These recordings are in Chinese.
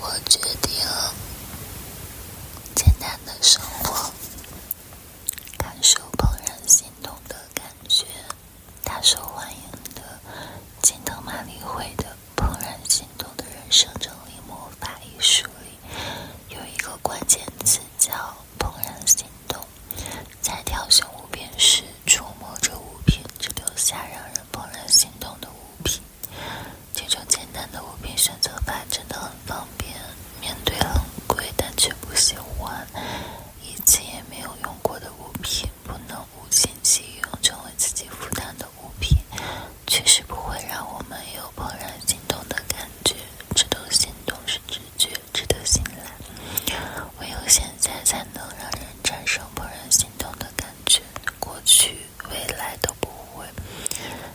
我决定了，简单的生活，感受怦然心动的感觉。大受欢迎的《金藤玛丽会的怦然心动的人生整理魔法》一书里，有一个关键词叫“怦然心动”。在挑选物品时。触摸着物品，只留下让人怦然心动的物品。这种简单的物品选择法真的很方便。面对很贵但却不喜欢、以前也没有用过的物品，不能无心即用成为自己负担的物品，确实不会让我们有怦然心动的感觉。值得心动是直觉，值得信赖，唯有现在才能让人产生怦然心动的。感觉过去、未来都不会。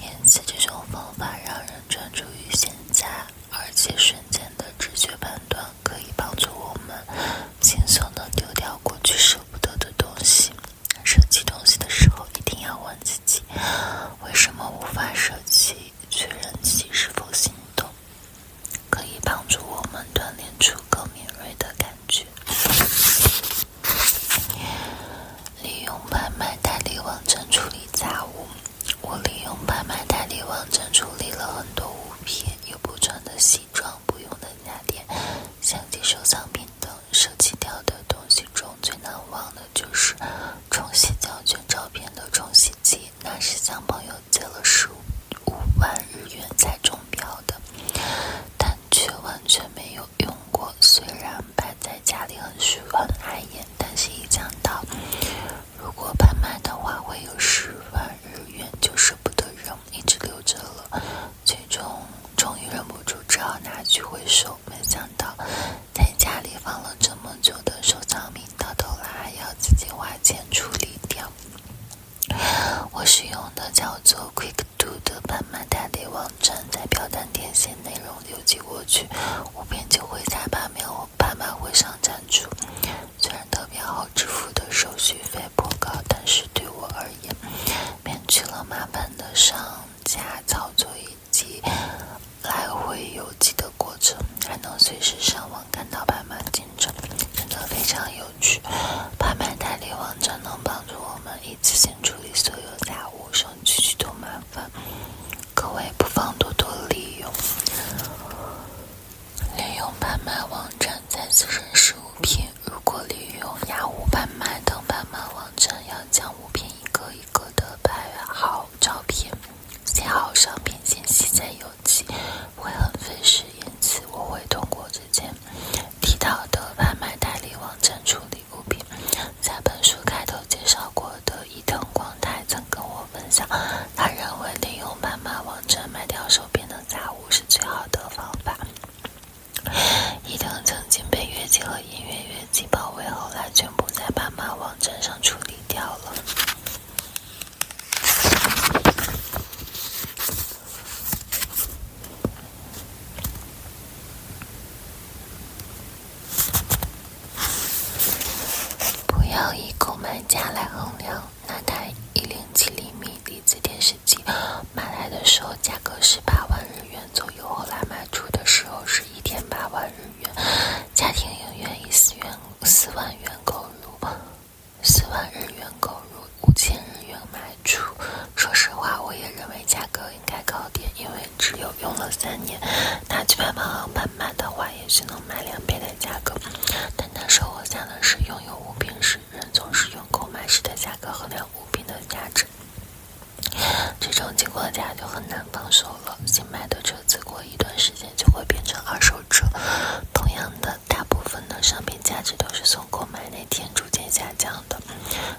因此，这种方法让人专注于现在，而且瞬间的直觉判断可以帮助我们轻松的丢掉过去舍不得的东西。舍弃东西的时候，一定要问自己：为什么无法舍弃？确认自己是否心动。可以帮助我们锻炼出更敏锐的感觉。利用拍卖代理网站处理杂物，我利用拍卖代理网站处理了很多物品，有不穿的西装、不用的家电、相机、收藏品等。舍弃掉的东西中最难忘的就是冲洗胶卷照片的冲洗机。那是向朋友借了十五万日元才中标的，但却完全没有用过。虽然摆在家里很虚，很碍眼，但是一想到如果拍卖的话会有十万日元，就舍不得扔，一直留着了。最终，终于忍不住，只好拿去回收。没想到，在家里放了这么久的收藏品，到头来还要自己花钱处理掉。我使用的叫做 q u i c k Do 的拍卖代理网站，在表单填写内容邮寄过去，我便就会在八秒我拍卖会上展出。虽然特别好，支付的手续费颇高，但是对我而言，免去了麻烦的上架操作以及来回邮寄的过程，还能随时上网。看到拍卖进程真的非常有趣。拍卖代理网站能帮助我们一次性处理所有杂物，省去许多麻烦。各位不妨多多利用，利用拍卖网站再次认识物品。如果利用雅虎拍卖等拍卖网站，要将物品一个一个的拍好照片，写好商品信息，再有。起会很费时，因此我会通过之前提到的拍卖代理网站处理物品。在本书开头介绍过的伊藤光太曾跟我分享，他认为利用拍卖网站卖掉手边的杂物是最好的方法。伊藤曾经被乐器和音乐乐器包围，后来全部在拍卖网站上处理掉了。不要以购买价来衡量那台一零七厘米离子电视机，买来的时候价格是八万日元左右，后来卖出的时候是一天八万日元，家庭影院一丝元。四万元购入，四万日元购入，五千日元卖出。说实话，我也认为价格应该高点，因为只有用了三年，拿去拍卖行拍卖的话，也许能卖两倍的价格。但他说：“我想的是，拥有物品时，人总是用购买时的价格衡量物品的价值。这种情况下就很难放手了。新买的车子过一段时就会变成二手车。同样的，大部分的商品价值都是从购买那天逐渐下降的。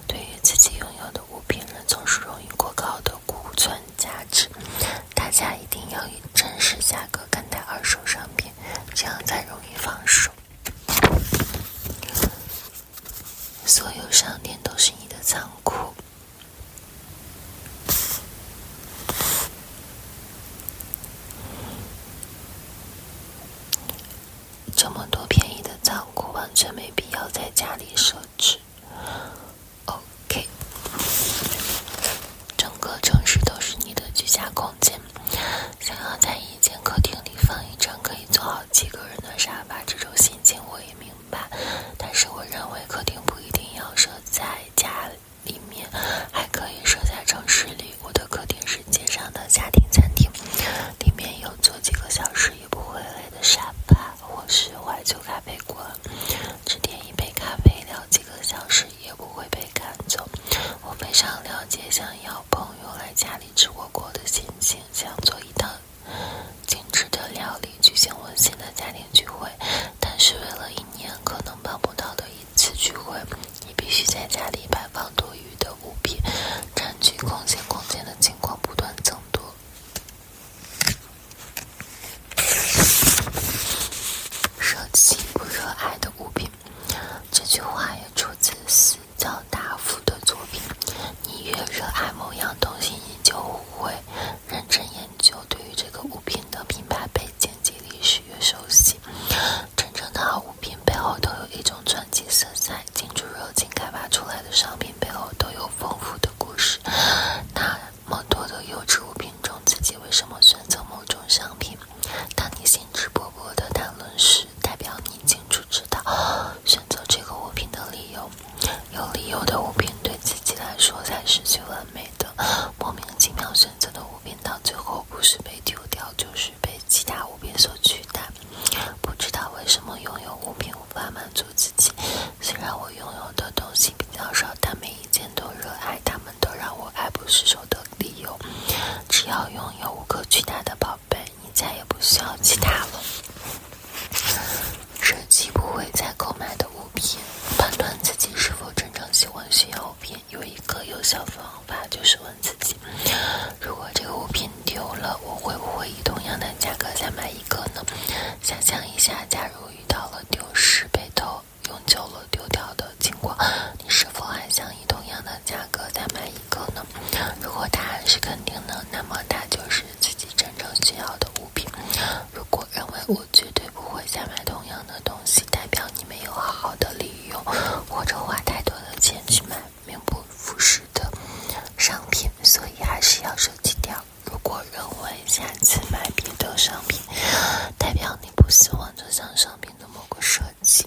对于自己拥有的物品，人总是容易过高的库存价值。大家一定要以真实价格看待二手商品，这样才容易放手。所有商店都是你的仓库。这么多便宜的仓库，完全没必要在家里设置。OK，整个城市都是你的居家空间。想要在一间客厅里放一张可以坐好几个人的沙发，这种心情我也没。吧，但是我认为客厅不一定要设在家里面，还可以设在城市里。我的客厅是街上的家庭餐厅，里面有坐几个小时也不会累的沙发，或是怀旧咖啡馆，只点一杯咖啡聊几个小时也不会被赶走。我非常了解想要朋友来家里吃火锅的心情，想做一套。精致的料理，举行温馨的家庭聚会，但是为了一年可能办不到的一次聚会，你必须在家里摆放多余的物品，占据空间。空间的情况不断增多。舍弃不热爱的物品，这句话也出自《斯教大夫》的作品。你越热爱某样东西，你就。会认真研究对于这个物品的品牌背景及历史越熟悉，真正的好物品背后都有一种传奇色彩，精致热情开发出来的商品背后都有丰富的故事。那么多的优质物品中，自己为什么选择某种商品？当你兴致勃勃的谈论时，代表你精致。知道选择这个物品的理由，有理由的物品对自己来说才是最完美的。莫名其妙选择的物品，到最后不是被丢掉，就是被其他物品所取代。不知道为什么拥有物品无法满足自己。虽然我拥有的东西比较少，但每一件都热爱，它们都让我爱不释手的理由。只要拥有无可取代的宝贝。你再也不需要其他了。舍弃不会再购买的物品，判断自己是否真正喜欢需要物品，有一个有效方法就是问自己：如果这个物品丢了，我会不会以同样的价格再买一个呢？想象一下，假如遇到了丢失、被偷、用旧了、丢掉的情况，你是否还想以同样的？价格再买一个呢？如果答案是肯定的，那么它就是自己真正需要的物品。如果认为我绝对不会再买同样的东西，代表你没有好好的利用，或者花太多的钱去买名不副实的商品，所以还是要舍弃掉。如果认为下次买别的商品，代表你不喜欢这项商品的某个设计。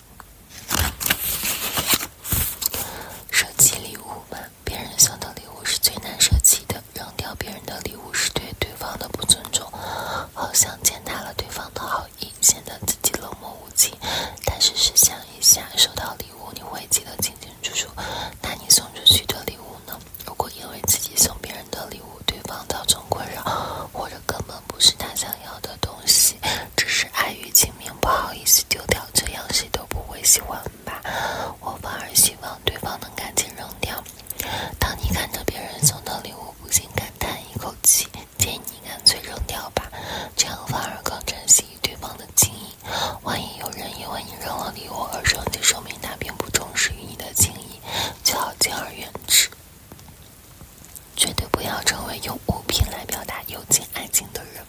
收起礼物吧，别人送的礼物是最难收起的。扔掉别人的礼物是对对方的不尊重，好像践踏了对方的好意，显得自己冷漠无情。但是试想一下，收到礼物你会记得清清楚楚，那你送出去的礼物呢？如果因为自己送别人的礼物，对方造成困扰，或者根本不是他想要的东西。只是碍于情面，不好意思丢掉，这样谁都不会喜欢吧？我反而希望对方能赶紧扔掉。当你看着别人送的礼物，不禁感叹一口气，建议你干脆扔掉吧，这样反而更珍惜对方的情谊。万一有人因为你扔了礼物而生气，说明他并不重视于你的情谊，最好敬而远之。绝对不要成为用物品来表达友情、爱情的人。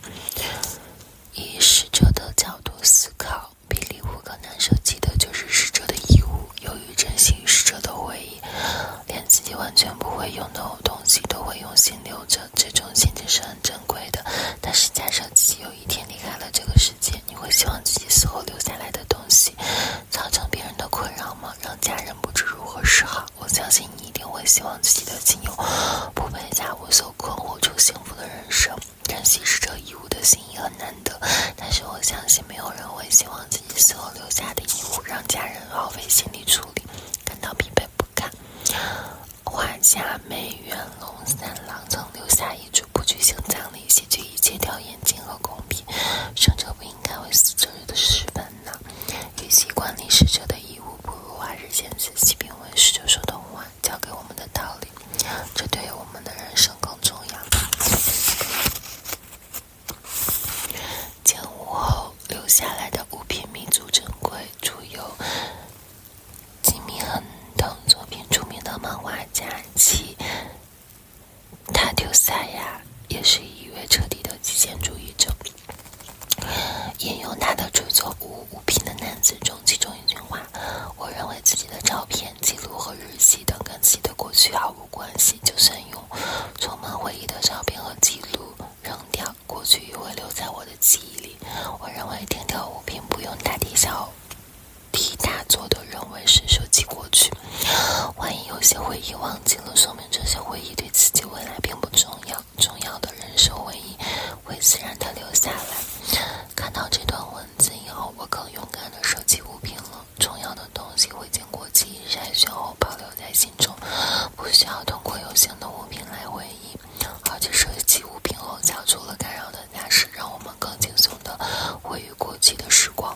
以逝者的角度思考，比礼物更难舍弃的就是逝者的义物。由于珍惜逝者的回忆，连自己完全不会用的东西都会用心留着，这种心情是很珍贵的。但是，假设自己有一天离开了这个世界，你会希望自己死后留下来的东西造成别人的困扰吗？让家人不知如何是好？我相信你一定会希望自己的亲友不被家务所困惑，出幸福的人生。珍惜逝者遗物的心意很难得，但是我相信没有人会希望自己死后留下的遗物让家人耗费心力处理，感到疲惫不堪。画家梅元龙三郎曾留下一句不举行葬礼，谢绝一切掉眼睛和工笔，生者不。应该为死者的尸本呢，与其管理逝者的遗物，不如花时间仔细品味逝者说的话，教给我们的道理，这对于我们的人生更重要。建武后留下来的物品弥足珍贵，著有《吉米恒》等作品，著名的漫画家其。塔丢萨亚也是一位彻底的极简主义者。引用他的著作《无物品的男子》中其中一句话：“我认为自己的照片、记录和日记等跟自己的过去毫无关系。就算用充满回忆的照片和记录扔掉，过去也会留在我的记忆里。”我认为丢掉物品不用大题小题大做的认为是舍弃过去。万一有些回忆忘记了，说明这些回忆对自己未来并不重要。重要的人生回忆，会自然地留下来。看到这段文字以后，我更勇敢地收起物品了。重要的东西会经过记忆筛选后保留在心中，不需要通过有形的物品来回忆。而且收起物品后，消除了干扰的加持，让我们更轻松地回忆过去的时光。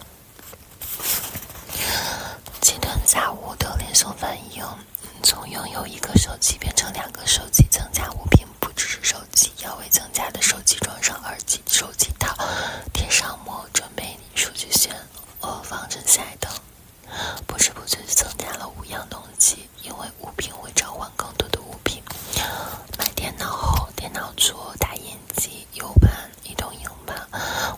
今天下午的连锁反应，从拥有一个手机变成两个手机，增加物品不只是手机，要为增加的手机装上耳机、手机套、贴上膜，准备数据线和防尘塞等。不知不觉增加了五样东西，因为物品会召唤更多的物品。买电脑后，电脑桌、打印机。U 盘、移动硬盘、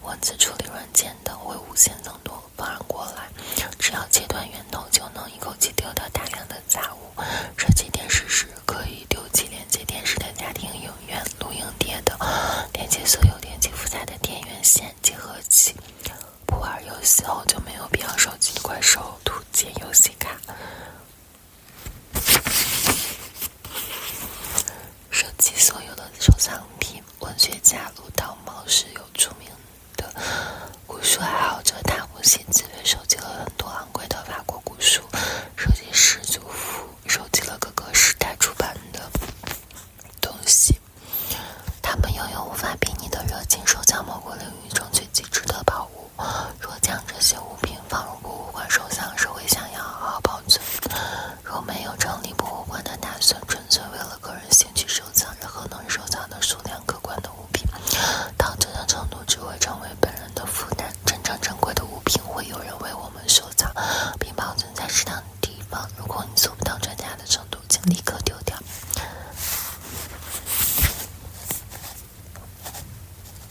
文字处理软件等会无限增多，反而过来，只要切断源头，就能一口气丢掉大量的杂物。连接电视时，可以丢弃连接电视的家庭影院、录音碟等，连接所有电器附带的电源线集合器。不玩游戏后，就没有必要收集怪兽、图解游戏卡。收集所有的收藏品。文学家鲁道茂是有著名的古书爱好者，他不惜自己收集了很多昂贵的法国古书，设计师祖父收集了各个时代出版的东西。他们拥有无法比拟的热情，收藏某个领域中最极致的宝物。若将这些物品，放入博物馆收藏是会想要好好保存。若没有成立博物馆的打算，纯粹为了个人兴趣收藏，任何能收藏的数量可观的物品，到这种程度只会成为本人的负担。真正珍贵的物品，会有人为我们收藏，并保存在适当的地方。如果你做不到专家的程度，请立刻丢掉。